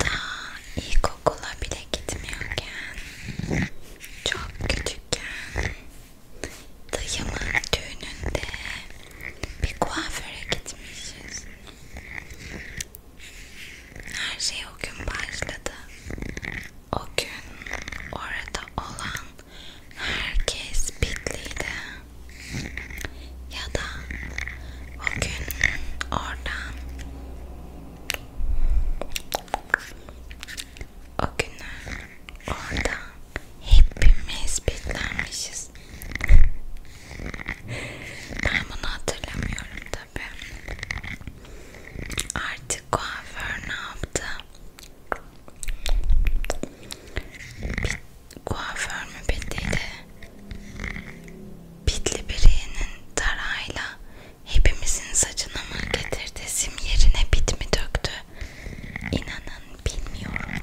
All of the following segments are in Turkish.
Daha ilkokula bile gitmiyorken, çok küçükken dayımın düğününde bir kuaföre gitmişiz. Her şey o gün başladı. O gün orada olan herkes bitliydi ya da o gün orada o günler orada hepimiz bitlenmişiz ben bunu hatırlamıyorum tabi artık kuaför ne yaptı kuaför mü bittiydi Bitli birinin tarayla hepimizin saçına mı getirdesim yerine bit mi döktü? İnanın bilmiyorum.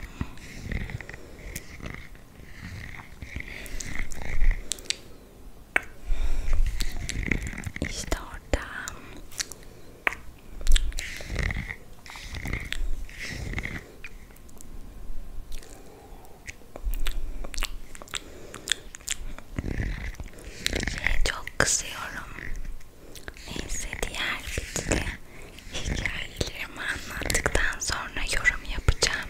İşte orada. Çok kızıyorum. Neyse diğer videoda hikayelerimi anlattıktan sonra yorum yapacağım.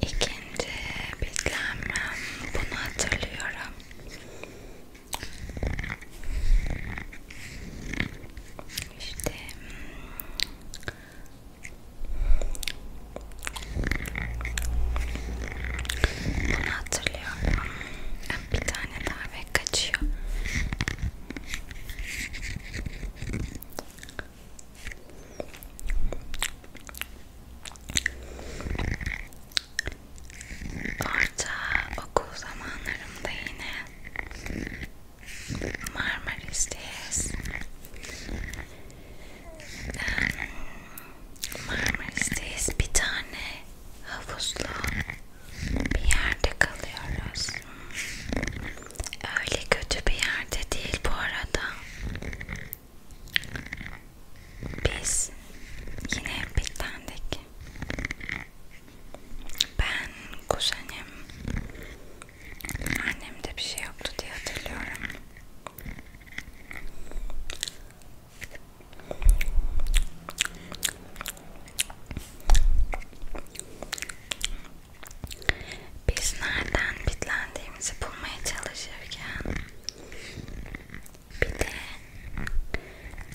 İkinci bitlenmem bunu hatırlıyorum. İşte bunu hatırlıyorum. Bir tane daha ve kaçıyor. Orta okul zamanlarımda yine Marmaris'teyiz. Marmaris'teyiz bir tane havuzlu bir yerde kalıyoruz. Öyle kötü bir yerde değil bu arada. Biz yine Bitland'daki. Ben kuzenim, annemde bir şey yoktu diye hatırlıyorum. Biz nereden bitlendiğimizi bulmaya çalışırken bir de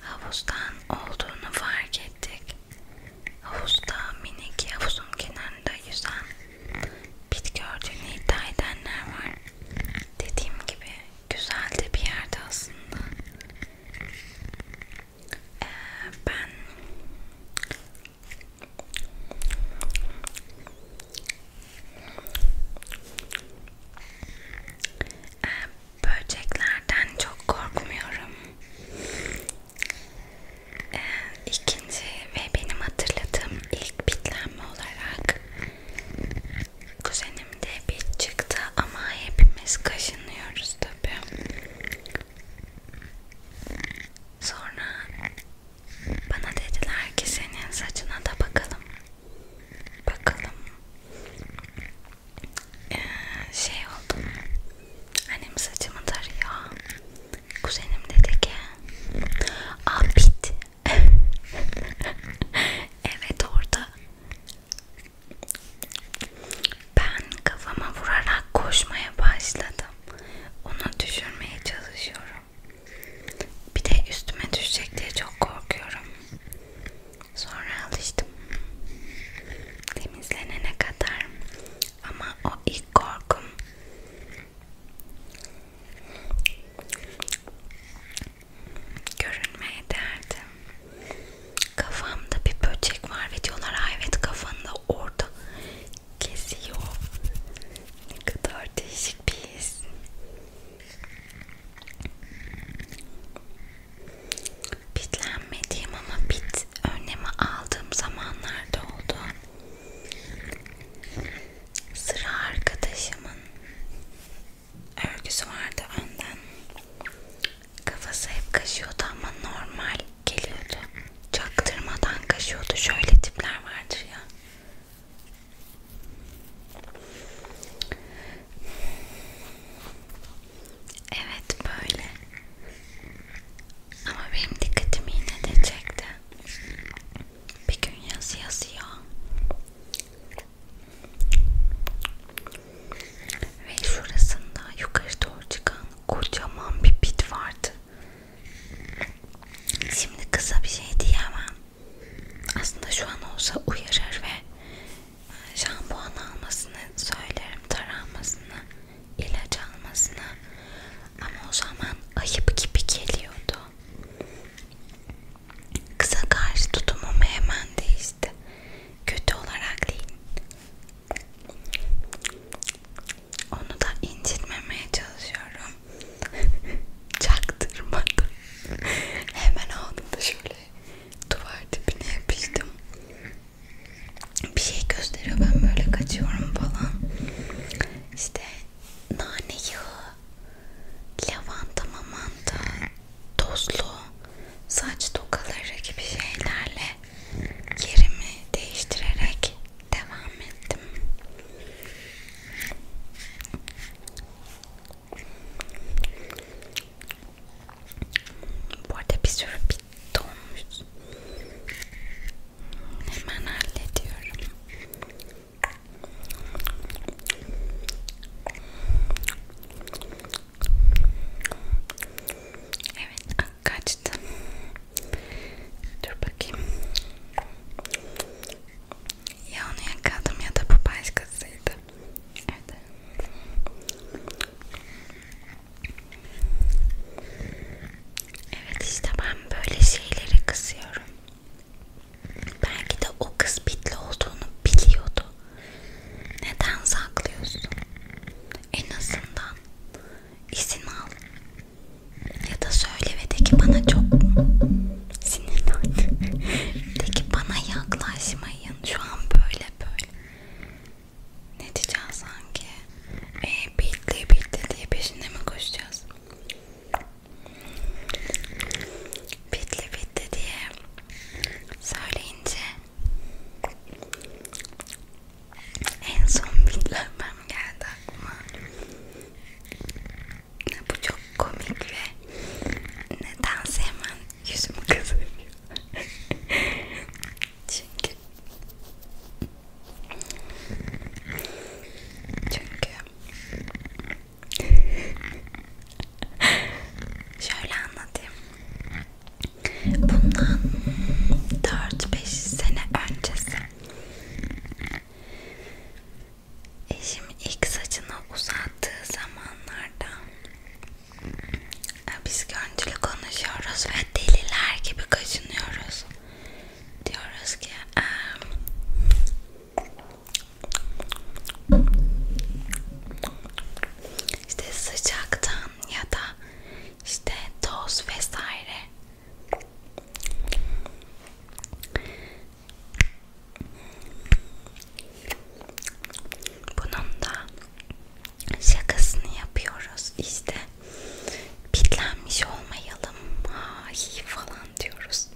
havuzdan olduğunu fark ettik. Havuzda minik havuzun kenarında yüzen bit gördüğünü iddia edenler var. Dediğim gibi güzel de bir yerde aslında. Ee, ben ee, böceklerden çok korkmuyorum. Ee, ikinci ve benim hatırladığım ilk bitlenme olarak kuzenimde bir çıktı ama hepimiz kaşınıyoruz tabi. Sonra bana dediler ki senin saçına da bakalım. Bakalım. Ee, şey oldu. Annem saçımı tarıyor. Kuzenim dedi ki abit. evet orada ben kafama vurarak koşmaya başladım. Onu düşürmeye çalışıyorum. Bir de üstüme düşecek diye çok korkuyorum. Sonra alıştım. Temizlenene kadar. Ama o ilk korkum. Görünmeye derdim kafamda bir böcek var ve diyorlar ay evet kafanda orada kesiyor. Ne kadar değişik bir his. Bitlenmediğim ama bit önlemi aldığım zamanlarda oldu. Sıra arkadaşımın örgüsü vardı önden. Kafası hep kaşıyordu ama normal geliyordu. Çaktırmadan kaşıyordu. Şöyle tipler vardır ya. Evet böyle. Ama benim dikkatimi yine de çekti. Bir gün yazı yazıyor. Ve şurasında yukarı doğru çıkan kocaman bir pit vardı. Şimdi kısa bir şey diyemem. Aslında şu an olsa uyarır ve e, şampuan almasını söylerim, taranmasını, ilaç almasını. Ama o zaman ayıp gibi geliyordu. Kıza karşı tutumum hemen değişti. Kötü olarak değil, onu da incitmemeye çalışıyorum. Çaktırmadım. Hemen aldım da şöyle duvar dibine yapıştım. Bir şey gösteriyor ben böyle kaçıyorum falan. İşte nane yağı, lavanta mamanta, tozlu saç tokaları gibi şeylerle yerimi değiştirerek devam ettim. Bu arada bir sürü bit olmuş. Hemen hallediyorum. Evet kaçtı. Dur bakayım. Ya onu yakaladım ya da bu başkasıydı. Evet. Evet işte ben böyle şeyleri kızıyorum. Belki de o kız bitli olduğunu biliyordu. Neden saklıyorsun? En azından izin al. Ya da söyle ve de ki bana çok sinirlen. de ki bana yaklaşmayın. Şu an böyle böyle. Ne diyeceğiz sanki? Eee bitti bitti diye peşinde mi koşacağız? Bitli bitli diye söyleyince en son bitlenmem geldi aklıma. Bu çok komik ve nedense hemen yüzümü kızarıyor. çünkü çünkü şöyle anlatayım. Bundan 4-5 sene öncesi eşim ilk saçını uzattığı zamanlarda e, biz görüntülü konuşuyoruz ve deliler gibi kaşınıyoruz. Diyoruz ki işte sıcaktan krem ya da işte toz vesaire bunun da şakasını yapıyoruz işte bitlenmiş olmayalım ay falan diyoruz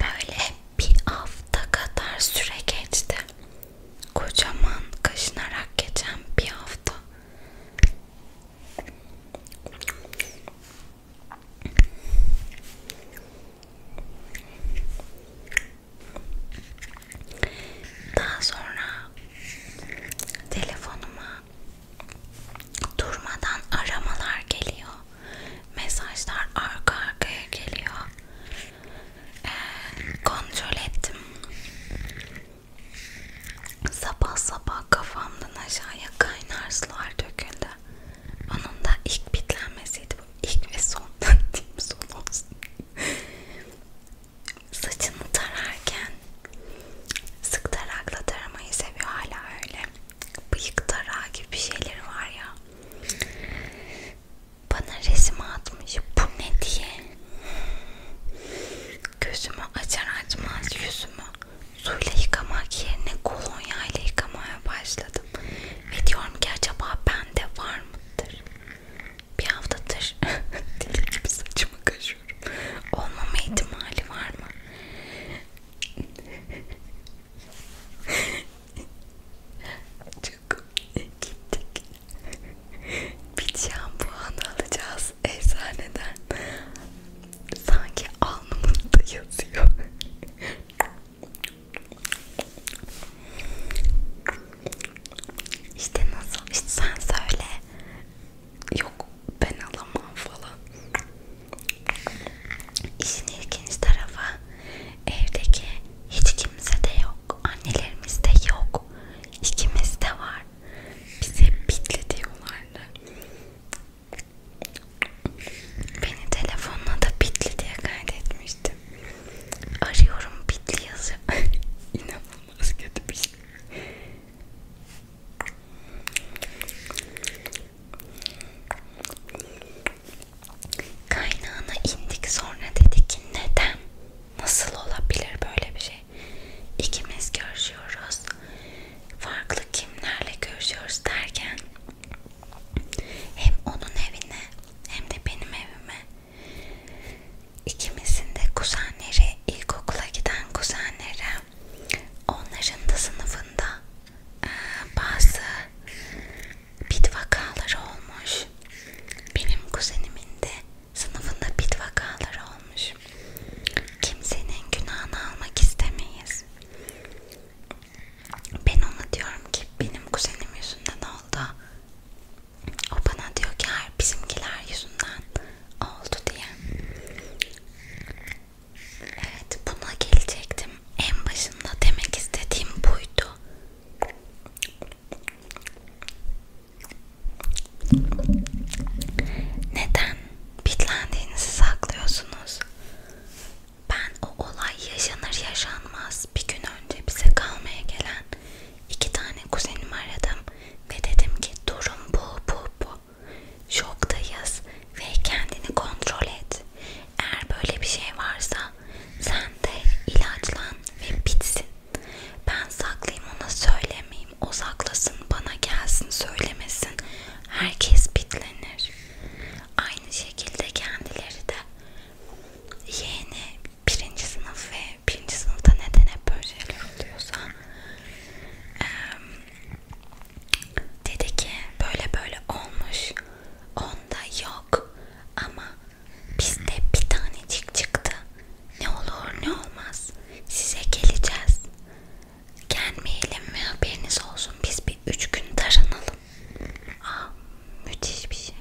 Böyle bir hafta kadar süre geçti. Kocaman kaşınarak geçen bir hafta. Daha sonra telefonuma durmadan aramalar geliyor. Mesajlar arka arkaya geliyor kontrol ettim. Sabah sabah kafamdan aşağıya kaynar sular döküldü. Onun da ilk bitlenmesiydi bu. İlk ve son diyeyim son olsun. Saçını tararken sık tarakla taramayı seviyor hala öyle. Bıyık tarağı gibi şeyleri var ya bana resim atmış bu ne diye gözümü açar açmaz yüzümü suyla yıkamak yerine kolonya ile yıkamaya başladım ve diyorum ki acaba bende var mıdır bir haftadır deli gibi saçımı kaşıyorum olmama ihtimali var mı Çok gittik. Bir şampuan alacağız eczaneden. Sanki alnımızda yazıyor. İşte nasıl? İşte sen söyle. Yok ben alamam falan. İşin ilginç tarafı evdeki hiç kimse de yok, annelerimiz de yok, ikimiz de var. Bize bitli diyorlardı. Beni telefonla da bitli diye kaydetmiştim. Arıyorum bitli yazı. İnanılmaz kötü bir şey. Kaynağına indik sonra dedi ki neden? Nasıl olabilir böyle bir şey? İkimiz görüşüyoruz. Farklı kimlerle görüşüyoruz derken hem onun evine hem de benim evime ikimizin de kuzenleri ilkokula giden kuzenleri onların da sınıfında bazı bit vakaları olmuş. Benim kuzenimin de sınıfında bit vakaları olmuş. Kimsenin günahını almak istemeyiz. Ben ona diyorum ki benim kuzenim yüzünden oldu. O bana diyor ki her bizimkiler yüzünden oldu diye. Evet buna gelecektim. En başında demek istediğim buydu. Neden bitlendiğinizi saklıyorsunuz? Ben o olay yaşanır yaşanmaz bir gün önce bize kalmaya gelen iki tane kuzenimi aradım ve dedim ki durum bu bu bu. Şoktayız ve kendini kontrol et. Eğer böyle bir şey varsa sen de ilaçlan ve bitsin. Ben saklayayım ona söylemeyeyim. O saklasın bana gelsin söylemesin. Herkes bitlenir. Aynı şekilde kendileri de yeğeni birinci sınıf ve birinci sınıfta neden hep böyle şeyler oluyorsa e, dedi ki böyle böyle olmuş onda yok ama Bizde bir tanecik çıktı. Ne olur ne olmaz. Size geleceğiz. Gelmeyelim mi haberiniz olsun. Biz bir üç gün taranalım. Aa, ah, müthiş bir şey.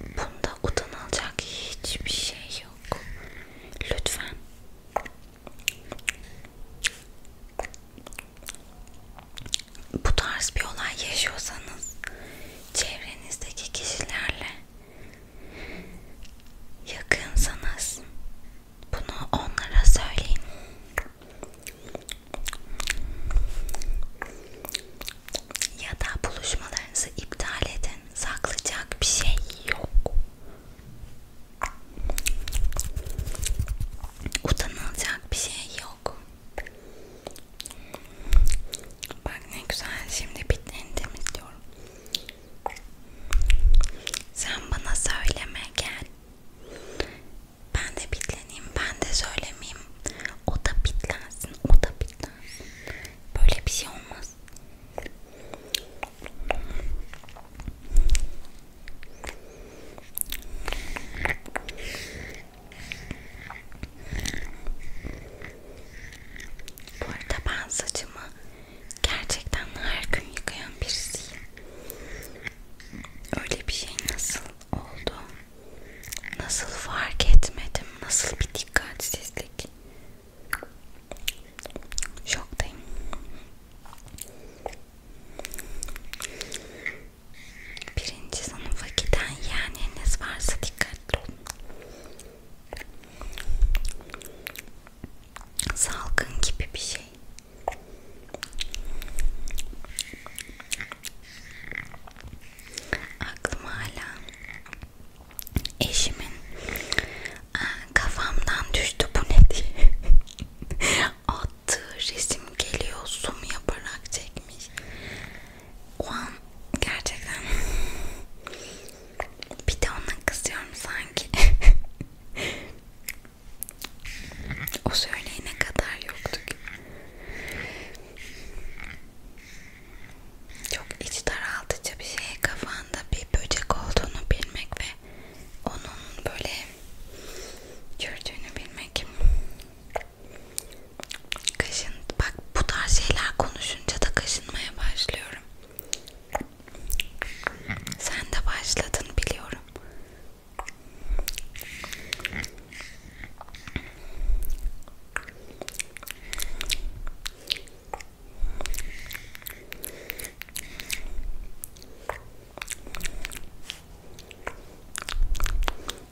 Bunda utanılacak hiçbir şey yok. Lütfen bu tarz bir olay yaşıyorsanız çevrenizdeki kişilerle yakınsanız bunu onlara söyleyin. Ya da buluşmalarınızı iptal edin. Saklayacak bir şey yok. Utanılacak bir şey yok soğuk. Bak ne güzel şimdi bitlerini temizliyorum. Sen bana söyleme gel. Ben de bitleneyim, ben de söylemeyeyim. O da bitlensin, o da bitlensin. Böyle bir şey olmaz. Bu arada ben saçımı gerçekten her gün yıkayan birisiyim. Öyle bir şey nasıl oldu? Nasıl fark etmedim? Nasıl bir dikkatsizlik? Şoktayım. Birinci sınıfa giden yeğeniniz varsa dikkatli olun. Salgın gibi bir şey. Aklım hala eşimin kafamdan düştü bu ne diye attığı resim geliyor zoom yaparak çekmiş o an gerçekten bir de ona kızıyorum sanki o söyleyene kadar yoktuk çok iç daraltıcı bir şey kafanda bir böcek olduğunu bilmek ve onun böyle gördüğünü bilmek Kaşın, bak bu tarz şeyler konuşunca da kaşınmaya başlıyorum. Sen de başladın biliyorum.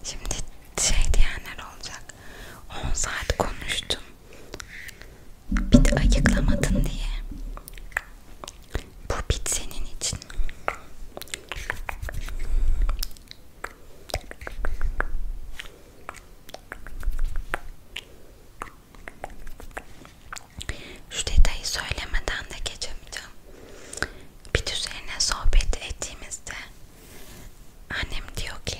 Şimdi şey diyenler olacak. 10 saat konuştum. Bir de ayıklamadın diye. Bu bit senin için. Şu detayı söylemeden de geçemeyeceğim. Bit üzerine sohbet ettiğimizde Annem diyor ki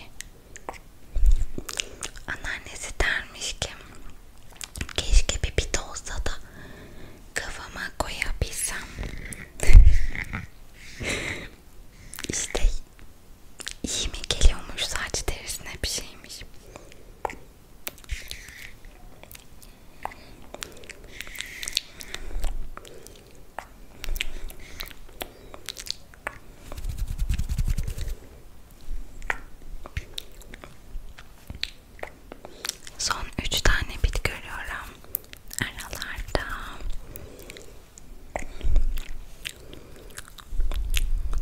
anneannesi dermiş ki keşke bir pita olsa da kafama koyabilsem. işte iyi mi geliyormuş saç derisine bir şeymiş. Son üç tane bit görüyorum aralarda.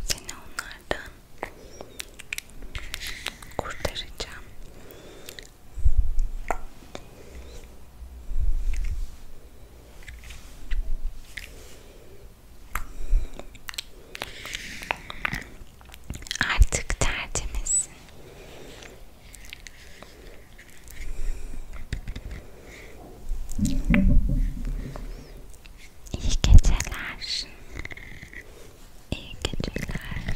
Seni onlardan kurtaracağım. Artık tertemizsin. İyi geceler. İyi geceler.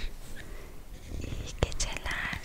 İyi geceler.